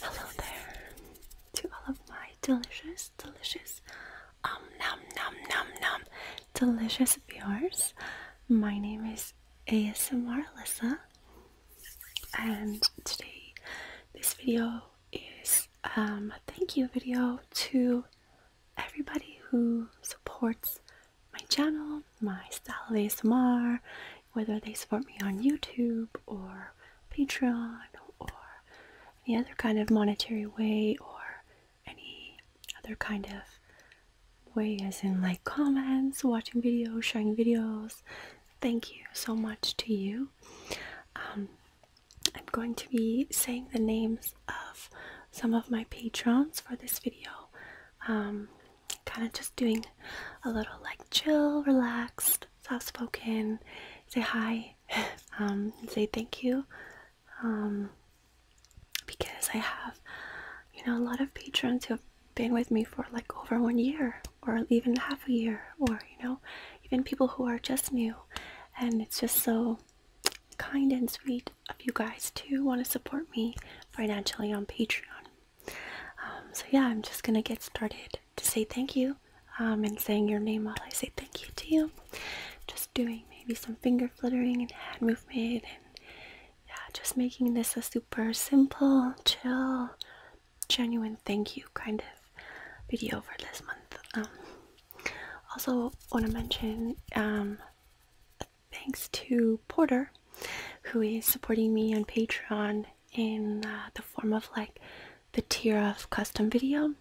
Hello there to all of my delicious, delicious, um, num, num, num, num, delicious viewers. My name is ASMR Alyssa, and today this video is um, a thank you video to everybody who supports my channel, my style of ASMR, whether they support me on YouTube or Patreon or any other kind of monetary way or any other kind of way, as in like comments, watching videos, sharing videos. Thank you so much to you. Um, I'm going to be saying the names of some of my patrons for this video. Um, kind of just doing a little like chill, relaxed, soft spoken, say hi, um, say thank you. Um, because I have, you know, a lot of patrons who have been with me for like over one year or even half a year or, you know, even people who are just new and it's just so kind and sweet of you guys to want to support me financially on Patreon. Um, so yeah, I'm just gonna get started to say thank you um, and saying your name while I say thank you to you. Just doing maybe some finger fluttering and hand movement and yeah, just making this a super simple, chill, genuine thank you kind of video for this month. Um, also, want to mention um, thanks to Porter, who is supporting me on Patreon in uh, the form of like the tier of custom video.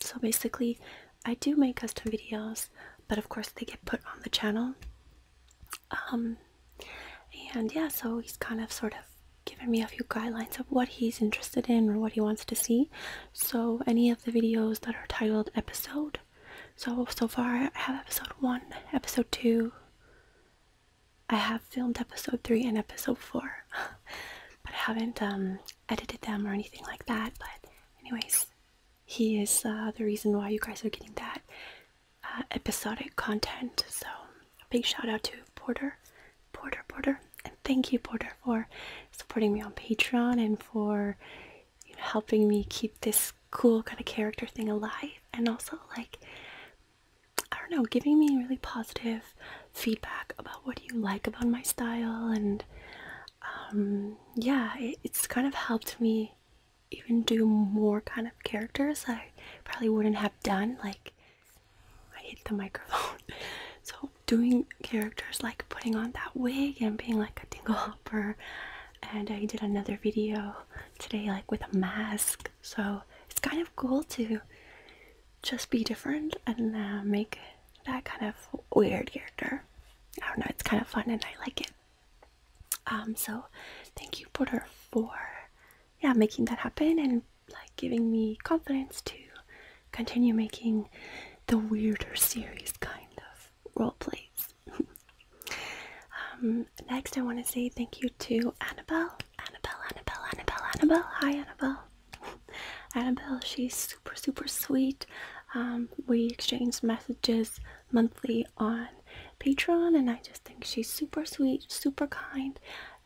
So basically, I do make custom videos, but of course they get put on the channel. Um, and yeah, so he's kind of sort of given me a few guidelines of what he's interested in or what he wants to see. So, any of the videos that are titled episode. So, so far, I have episode 1, episode 2. I have filmed episode 3 and episode 4. but I haven't um, edited them or anything like that. But, anyways, he is uh, the reason why you guys are getting that uh, episodic content. So, big shout out to Porter. Porter, Porter. And thank you, Porter, for supporting me on Patreon and for helping me keep this cool kind of character thing alive. And also, like, I don't know, giving me really positive feedback about what you like about my style. And um, yeah, it's kind of helped me even do more kind of characters I probably wouldn't have done. Like, I hate the microphone. So doing characters like putting on that wig and being like a dingle hopper and I did another video today like with a mask. So it's kind of cool to just be different and uh, make that kind of weird character. I don't know, it's kind of fun and I like it. Um, so thank you Porter for yeah making that happen and like giving me confidence to continue making the weirder series kind of role plays. Um, next, I want to say thank you to Annabelle. Annabelle, Annabelle, Annabelle, Annabelle. Hi, Annabelle. Annabelle, she's super, super sweet. Um, we exchange messages monthly on Patreon, and I just think she's super sweet, super kind,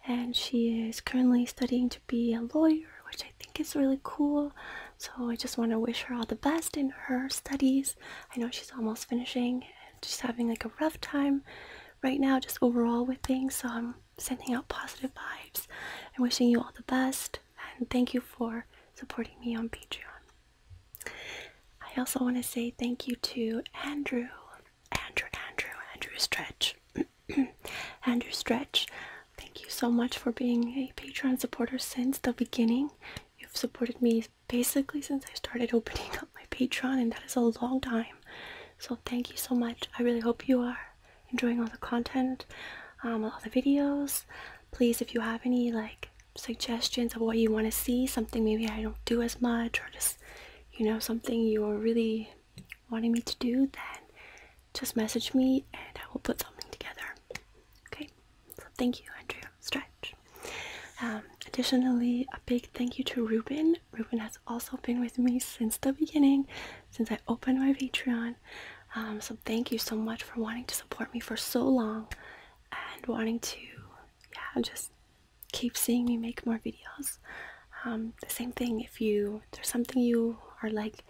and she is currently studying to be a lawyer, which I think is really cool. So I just want to wish her all the best in her studies. I know she's almost finishing and she's having like a rough time right now, just overall with things. So I'm sending out positive vibes and wishing you all the best. And thank you for supporting me on Patreon. I also want to say thank you to Andrew, Andrew, Andrew, Andrew Stretch. Andrew stretch. Thank you so much for being a Patreon supporter since the beginning. You've supported me basically since I started opening up my Patreon, and that is a long time. So, thank you so much. I really hope you are enjoying all the content, um, all the videos. Please, if you have any like suggestions of what you want to see, something maybe I don't do as much, or just you know, something you're really wanting me to do, then just message me and I will put something together. Okay, so thank you, Andrew Stretch. Um, additionally, a big thank you to Ruben. Ruben has also been with me since the beginning, since I opened my Patreon. Um, so thank you so much for wanting to support me for so long and wanting to, yeah, just keep seeing me make more videos. Um, the same thing if you there's something you are like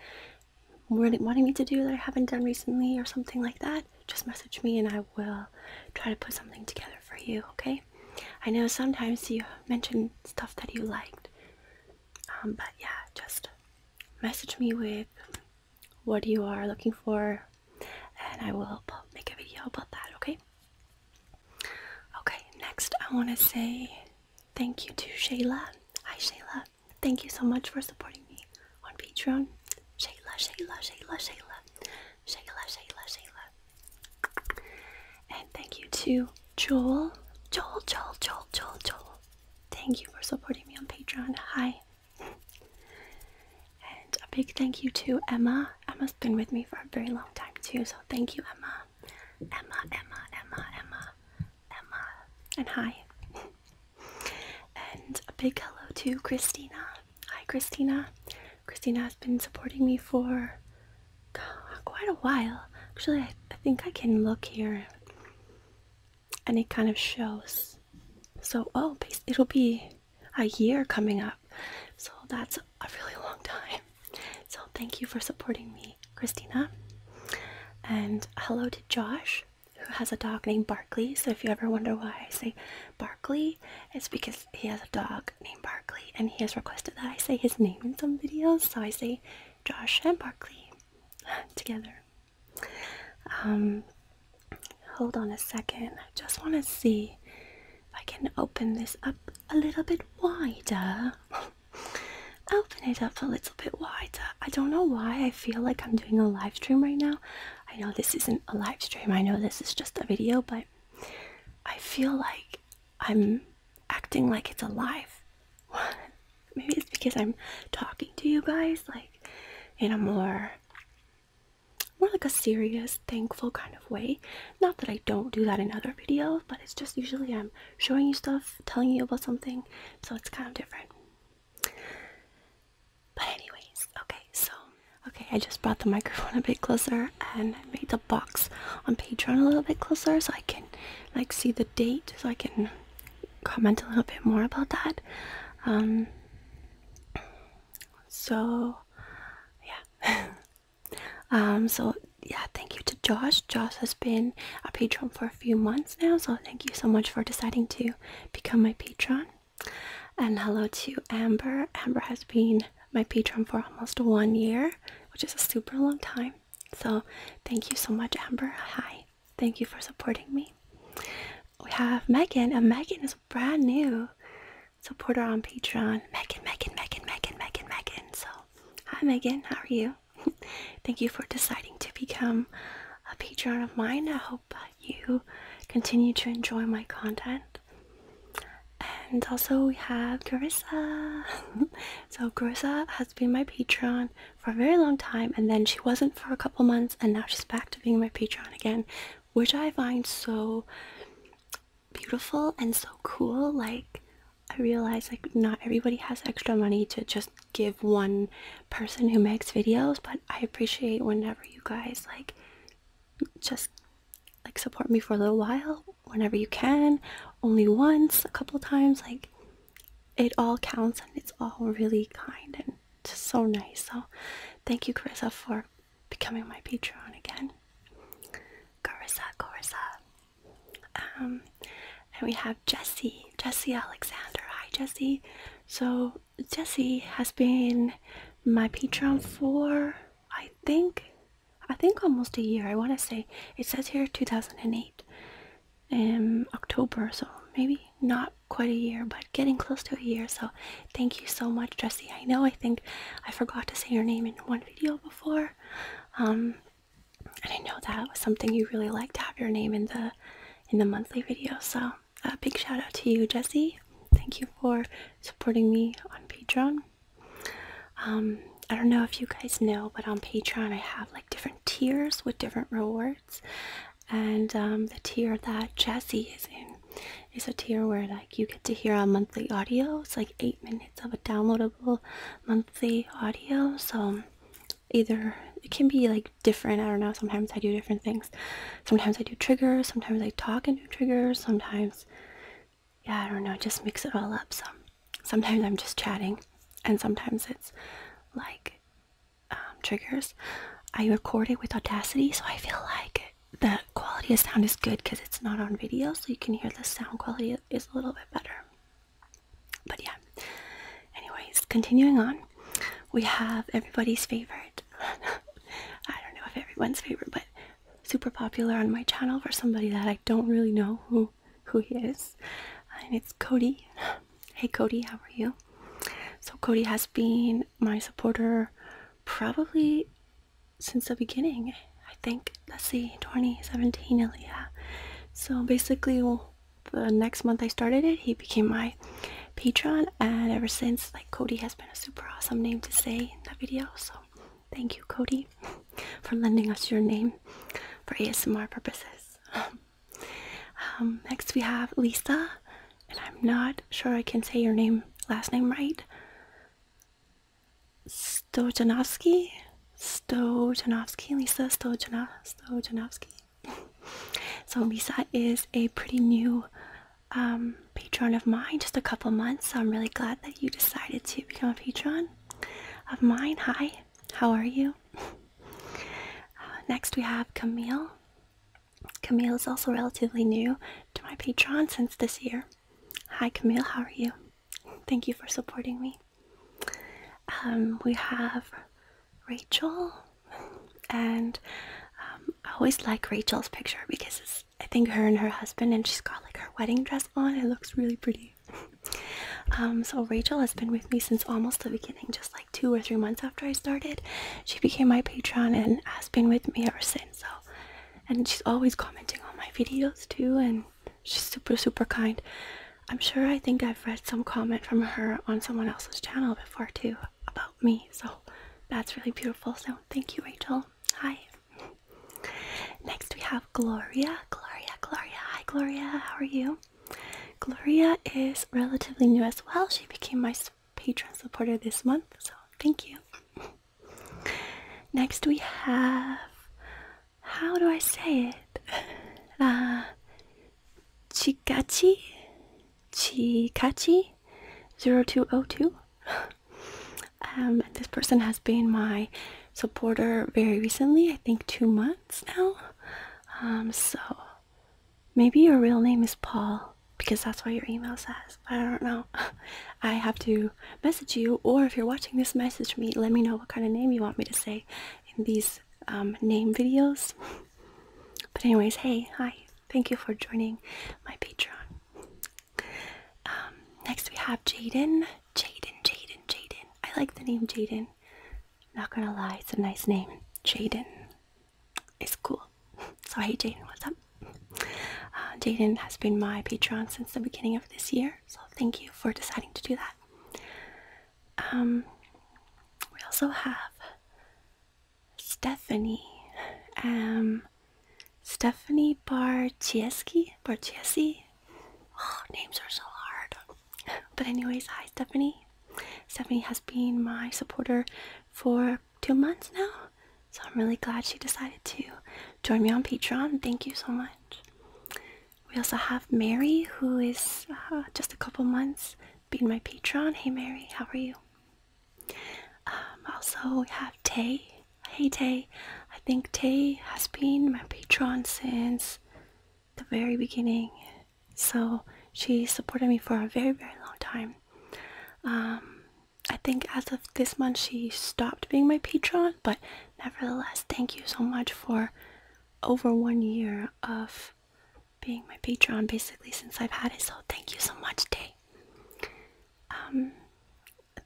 wanting me to do that I haven't done recently or something like that, just message me and I will try to put something together for you, okay? I know sometimes you mentioned stuff that you liked, um, but yeah, just message me with what you are looking for and I will make a video about that, okay? Okay, next I want to say Thank you to Shayla. Hi, Shayla. Thank you so much for supporting me on Patreon. Shayla, Shayla, Shayla, Shayla. Shayla, Shayla, Shayla. And thank you to Joel. Joel, Joel, Joel, Joel, Joel. Thank you for supporting me on Patreon. Hi. And a big thank you to Emma. Emma's been with me for a very long time too, so thank you, Emma. Emma, Emma, Emma, Emma, Emma, and hi. and a big hello to Christina. Hi, Christina. Christina has been supporting me for quite a while. Actually, I, I think I can look here and it kind of shows. So, oh, it'll be a year coming up. So, that's a really long time. So thank you for supporting me, Christina. And hello to Josh, who has a dog named Barkley. So if you ever wonder why I say Barkley, it's because he has a dog named Barkley, and he has requested that I say his name in some videos. So I say Josh and Barkley together. Um, hold on a second. I just want to see if I can open this up a little bit wider. Open it up a little bit wider. I don't know why I feel like I'm doing a live stream right now. I know this isn't a live stream, I know this is just a video, but I feel like I'm acting like it's alive. Maybe it's because I'm talking to you guys like in a more more like a serious, thankful kind of way. Not that I don't do that in other videos, but it's just usually I'm showing you stuff, telling you about something, so it's kind of different. But anyways, okay, so okay, I just brought the microphone a bit closer and made the box on Patreon a little bit closer so I can like see the date so I can comment a little bit more about that. Um so yeah. um so yeah thank you to josh josh has been a patron for a few months now so thank you so much for deciding to become my patron and hello to amber amber has been my patron for almost one year which is a super long time so thank you so much amber hi thank you for supporting me we have megan and megan is brand new supporter on patreon megan megan megan megan megan megan so Hi, Megan. How are you? Thank you for deciding to become a patron of mine. I hope you continue to enjoy my content. And also, we have Carissa. so, Carissa has been my patron for a very long time, and then she wasn't for a couple months, and now she's back to being my patron again, which I find so beautiful and so cool. Like, I realize like not everybody has extra money to just give one person who makes videos, but I appreciate whenever you guys like just like support me for a little while whenever you can, only once, a couple times, like it all counts and it's all really kind and just so nice. So thank you Carissa for becoming my patron again. Carissa, Carissa. Um, and we have Jesse, Jesse Alexander. Hi, Jesse. So Jesse has been my patron for I think, I think almost a year. I want to say it says here 2008, um, October. So maybe not quite a year, but getting close to a year. So thank you so much, Jesse. I know I think I forgot to say your name in one video before, before. Um, and I know that was something you really liked to have your name in the in the monthly video. So a big shout out to you, Jesse. Thank you for supporting me on Patreon. Um, I don't know if you guys know, but on Patreon I have like different tiers with different rewards, and um, the tier that Jesse is in is a tier where like you get to hear a monthly audio. It's like eight minutes of a download monthly audio. So either it can be like different. I don't know. Sometimes I do different things. Sometimes I do triggers. Sometimes I talk and do triggers. Sometimes, yeah, I don't know. Just mix it all up. So sometimes I'm just chatting, and sometimes it's like um, triggers. I record it with Audacity, so I feel like the quality of sound is good because it's not on video, so you can hear the sound quality is a little bit better. But yeah, anyways, continuing on, we have everybody's favorite. I don't know if everyone's favorite, but super popular on my channel for somebody that I don't really know who who he is, and it's Cody. Hey Cody, how are you? So Cody has been my supporter probably since the beginning. I think, let's see, 2017, yeah. So basically, the next month I started it, he became my patron, and ever since, like, Cody has been a super awesome name to say in the video. So thank you, Cody, for lending us your name for ASMR purposes. Um, next, we have Lisa, and I'm not sure I can say your name, last name right. Stojanovsky? Stojanovsky, Lisa Stojano Stojanovsky. so Lisa is a pretty new um, patron of mine, just a couple months. So I'm really glad that you decided to become a patron of mine. Hi, how are you? Uh, next we have Camille. Camille is also relatively new to my Patreon since this year. Hi Camille, how are you? Thank you for supporting me. Um, we have Rachel, and um, I always like Rachel's picture because it's, I think her and her husband, and she's got like her wedding dress on. It looks really pretty. Um, so Rachel has been with me since almost the beginning, just like two or three months after I started. She became my patron and has been with me ever since. So and she's always commenting on my videos too and she's super super kind i'm sure i think i've read some comment from her on someone else's channel before too about me so that's really beautiful so thank you rachel hi next we have gloria gloria gloria hi gloria how are you gloria is relatively new as well she became my patron supporter this month so thank you Next we have how do I say it? Uh, Chikachi Chikachi 0202. Um, this person has been my supporter very recently, I think two months now. Um, so maybe your real name is Paul because that's why your email says. I don't know. I have to message you, or if you're watching this, message me. Let me know what kind of name you want me to say in these um, name videos. But, anyways, hey, hi, thank you for joining my Patreon. Um, next, we have Jaden. Jaden, Jaden, Jaden. I like the name Jaden. Not gonna lie, it's a nice name. Jaden is cool. So, hey, Jaden, what's up? Patreon. Uh, has been my patron since the beginning of this year, so thank you for deciding to do that. Um, we also have Stephanie. Um, Stephanie Barchieski. Barchieski. Oh, names are so hard. But anyways, hi Stephanie. Stephanie has been my supporter for two months now. So I'm really glad she decided to join me on Patreon. Thank you so much. We also have Mary, who is uh, just a couple months being my patron. Hey Mary, how are you? Um, also, we have Tay. Hey Tay. I think Tay has been my patron since the very beginning. So she supported me for a very, very long time. Um, I think as of this month she stopped being my patron, but nevertheless, thank you so much for over one year of being my patron basically since I've had it. So thank you so much, Tay. Um,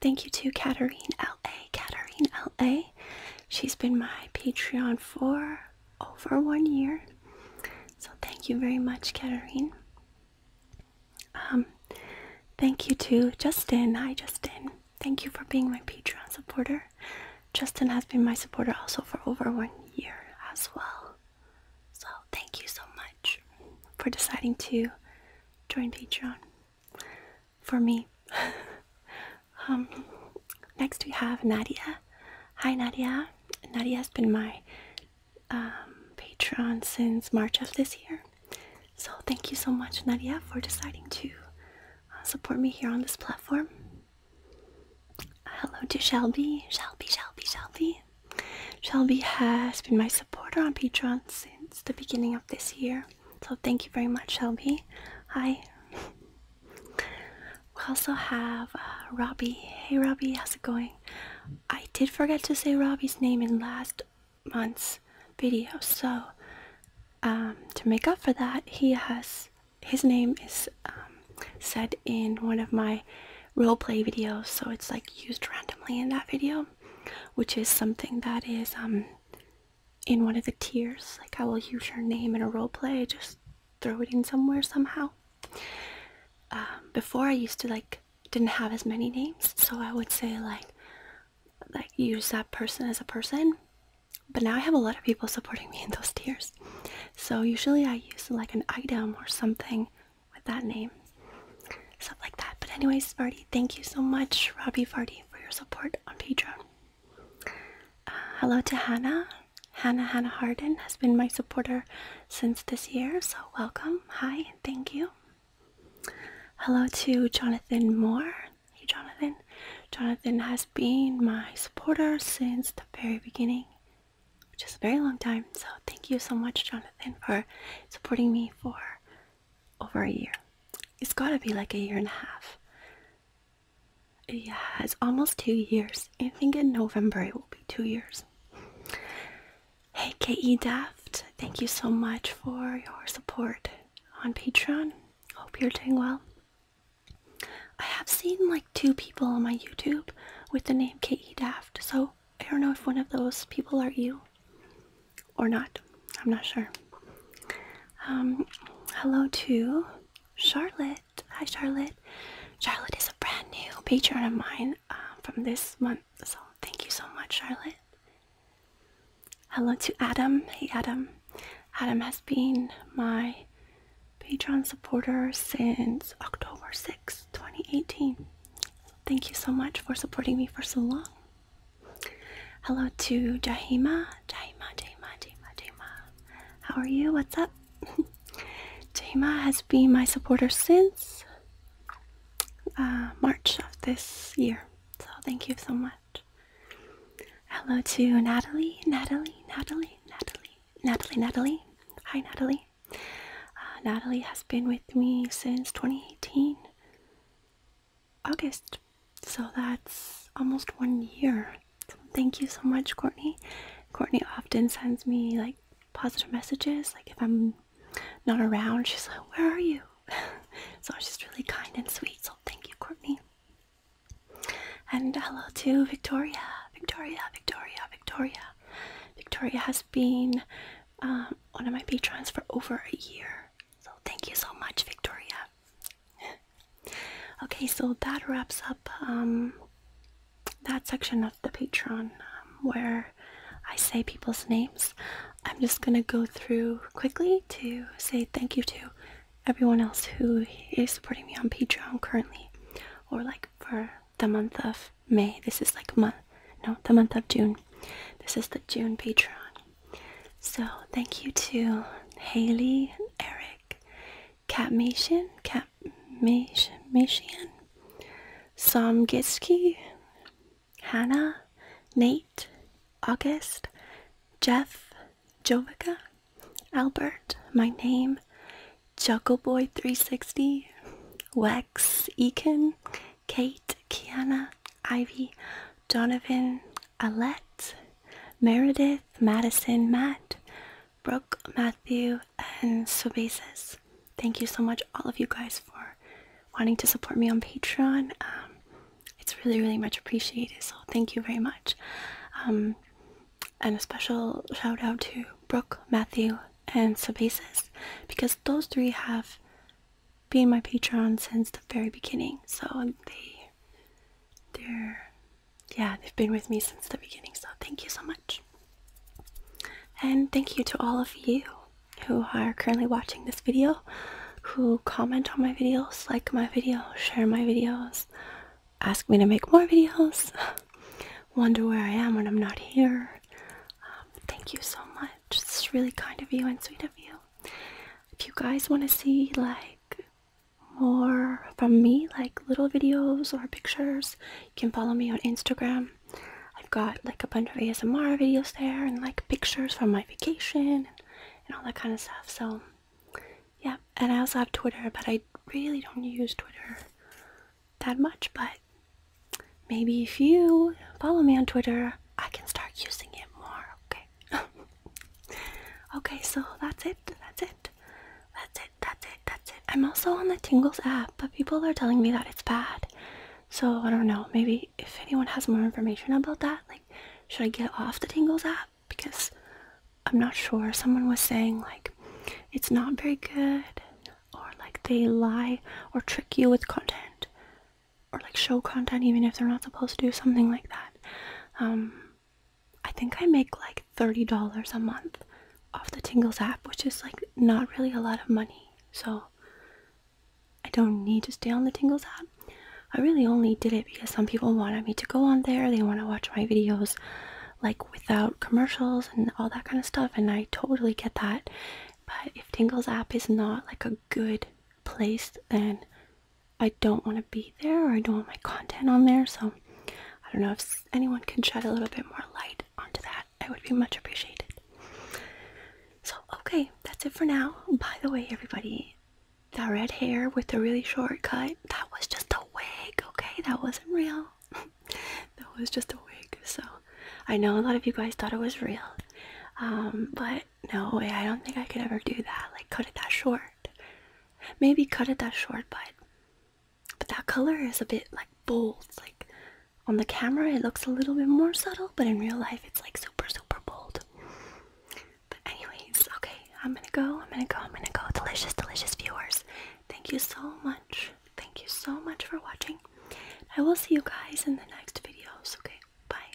thank you to Katerine LA. Katerine LA. She's been my Patreon for over one year. So thank you very much, Katerine. Um, thank you to Justin. Hi, Justin. Thank you for being my Patreon supporter. Justin has been my supporter also for over one year as well. So, thank you so much for deciding to join Patreon for me. um, next, we have Nadia. Hi, Nadia. Nadia has been my um, Patreon since March of this year. So, thank you so much, Nadia, for deciding to uh, support me here on this platform. hello to Shelby. Shelby, Shelby, Shelby. Shelby has been my supporter on Patreon since the beginning of this year. So, thank you very much, Shelby. Hi. We also have uh, Robbie. Hey, Robbie, how's it going? I did forget to say Robbie's name in last months video so um, to make up for that he has his name is um, said in one of my role play videos so it's like used randomly in that video which is something that is um in one of the tiers like i will use your name in a role play just throw it in somewhere somehow um, before i used to like didn't have as many names so i would say like like use that person as a person but now i have a lot of people supporting me in those tiers so usually i use like an item or something with that name stuff like that but anyways farty thank you so much robbie farty for your support on patreon uh, hello to hannah hannah hannah harden has been my supporter since this year so welcome hi thank you Hello to Jonathan Moore. Hey, Jonathan. Jonathan has been my supporter since the very beginning, which is a very long time. So, thank you so much, Jonathan, for supporting me for over a year. It's gotta be like a year and a half. Yeah, it's almost two years. I think in November it will be two years. Hey, K.E. Daft, thank you so much for your support on Patreon. Hope you're doing well. I have seen like two people on my YouTube with the name K.E. Daft, so I don't know if one of those people are you or not. I'm not sure. Um, hello to Charlotte. Hi, Charlotte. Charlotte is a brand new patron of mine uh, from this month. So thank you so much, Charlotte. Hello to Adam. Hey, Adam. Adam has been my Patreon supporter since October 6, 2018. Thank you so much for supporting me for so long. Hello to Jahima. Jahima, Jahima, Jahima, Jahima. How are you? What's up? Jahima has been my supporter since uh, March of this year. So thank you so much. Hello to Natalie, Natalie, Natalie, Natalie, Natalie, Natalie. Hi, Natalie. Uh, Natalie has been with me since 2018, August. So that's almost one year. So thank you so much, Courtney. Courtney often sends me like positive messages, like if I'm not around. She's like, Where are you? so she's really kind and sweet. So thank you, Courtney. And hello to Victoria. Victoria, Victoria, Victoria. Victoria has been um, one of my patrons for over a year. So thank you so much, Victoria. okay, so that wraps up um, that section of the Patreon um, where I say people's names. I'm just gonna go through quickly to say thank you to everyone else who is supporting me on Patreon currently, or like for the month of May. This is like month, no, the month of June. This is the June Patreon. So thank you to Haley, Eric, Catmation, Catmation, Somgitsky, Hannah, Nate, August, Jeff, Jovica, Albert, my name, Juggleboy360, Wex, Eakin, Kate, Kiana, Ivy, Donovan, Alette, Meredith, Madison, Matt, Brooke, Matthew, and Sobasis. Thank you so much, all of you guys, for wanting to support me on Patreon. Um, it's really, really much appreciated. So thank you very much. Um, and a special shout out to Brooke, Matthew, and Sabasis because those three have been my Patreon since the very beginning. So they, they're, yeah, they've been with me since the beginning. So thank you so much. And thank you to all of you who are currently watching this video, who comment on my videos, like my videos, share my videos, ask me to make more videos, wonder where I am when I'm not here. Um, thank you so much. It's really kind of you and sweet of you. If you guys want to see like more from me, like little videos or pictures, you can follow me on Instagram I've got like a bunch of ASMR videos there and like pictures from my vacation and, and all that kind of stuff. So, yeah. And I also have Twitter, but I really don't use Twitter that much. But maybe if you follow me on Twitter, I can start using it more. Okay. okay, so that's it. That's it. That's it. That's it. That's it. I'm also on the Tingles app, but people are telling me that it's bad. So I don't know. Maybe if anyone has more information about that, like, should I get off the Tingles app? Because I'm not sure. Someone was saying like it's not very good, or like they lie or trick you with content, or like show content even if they're not supposed to do something like that. Um, I think I make like thirty dollars a month off the Tingles app, which is like not really a lot of money so I don't need to stay on the Tingles app. I really only did it because some people wanted me to go on there. They want to watch my videos like without commercials and all that kind of stuff, and I totally get that. But if Tingles app is not like a good place, then I don't want to be there or I don't want my content on there. So I don't know if anyone can shed a little bit more light onto that that, I would be much appreciated. So, okay, that's it for now. By the way, everybody, the red hair with the really short cut, that was just a wig, okay? That wasn't real. that was just a wig. So, I know a lot of you guys thought it was real. Um, but no way, I don't think I could ever do that. Like, cut it that short. Maybe cut it that short, but but that color is a bit like bold. like on the camera, it looks a little bit more subtle, but in real life, it's like super, super bold. But, anyways, okay, I'm gonna go, I'm gonna go, I'm gonna go. Delicious, delicious viewers. Thank you so much. Thank you so much for watching. I will see you guys in the next videos, okay? Bye.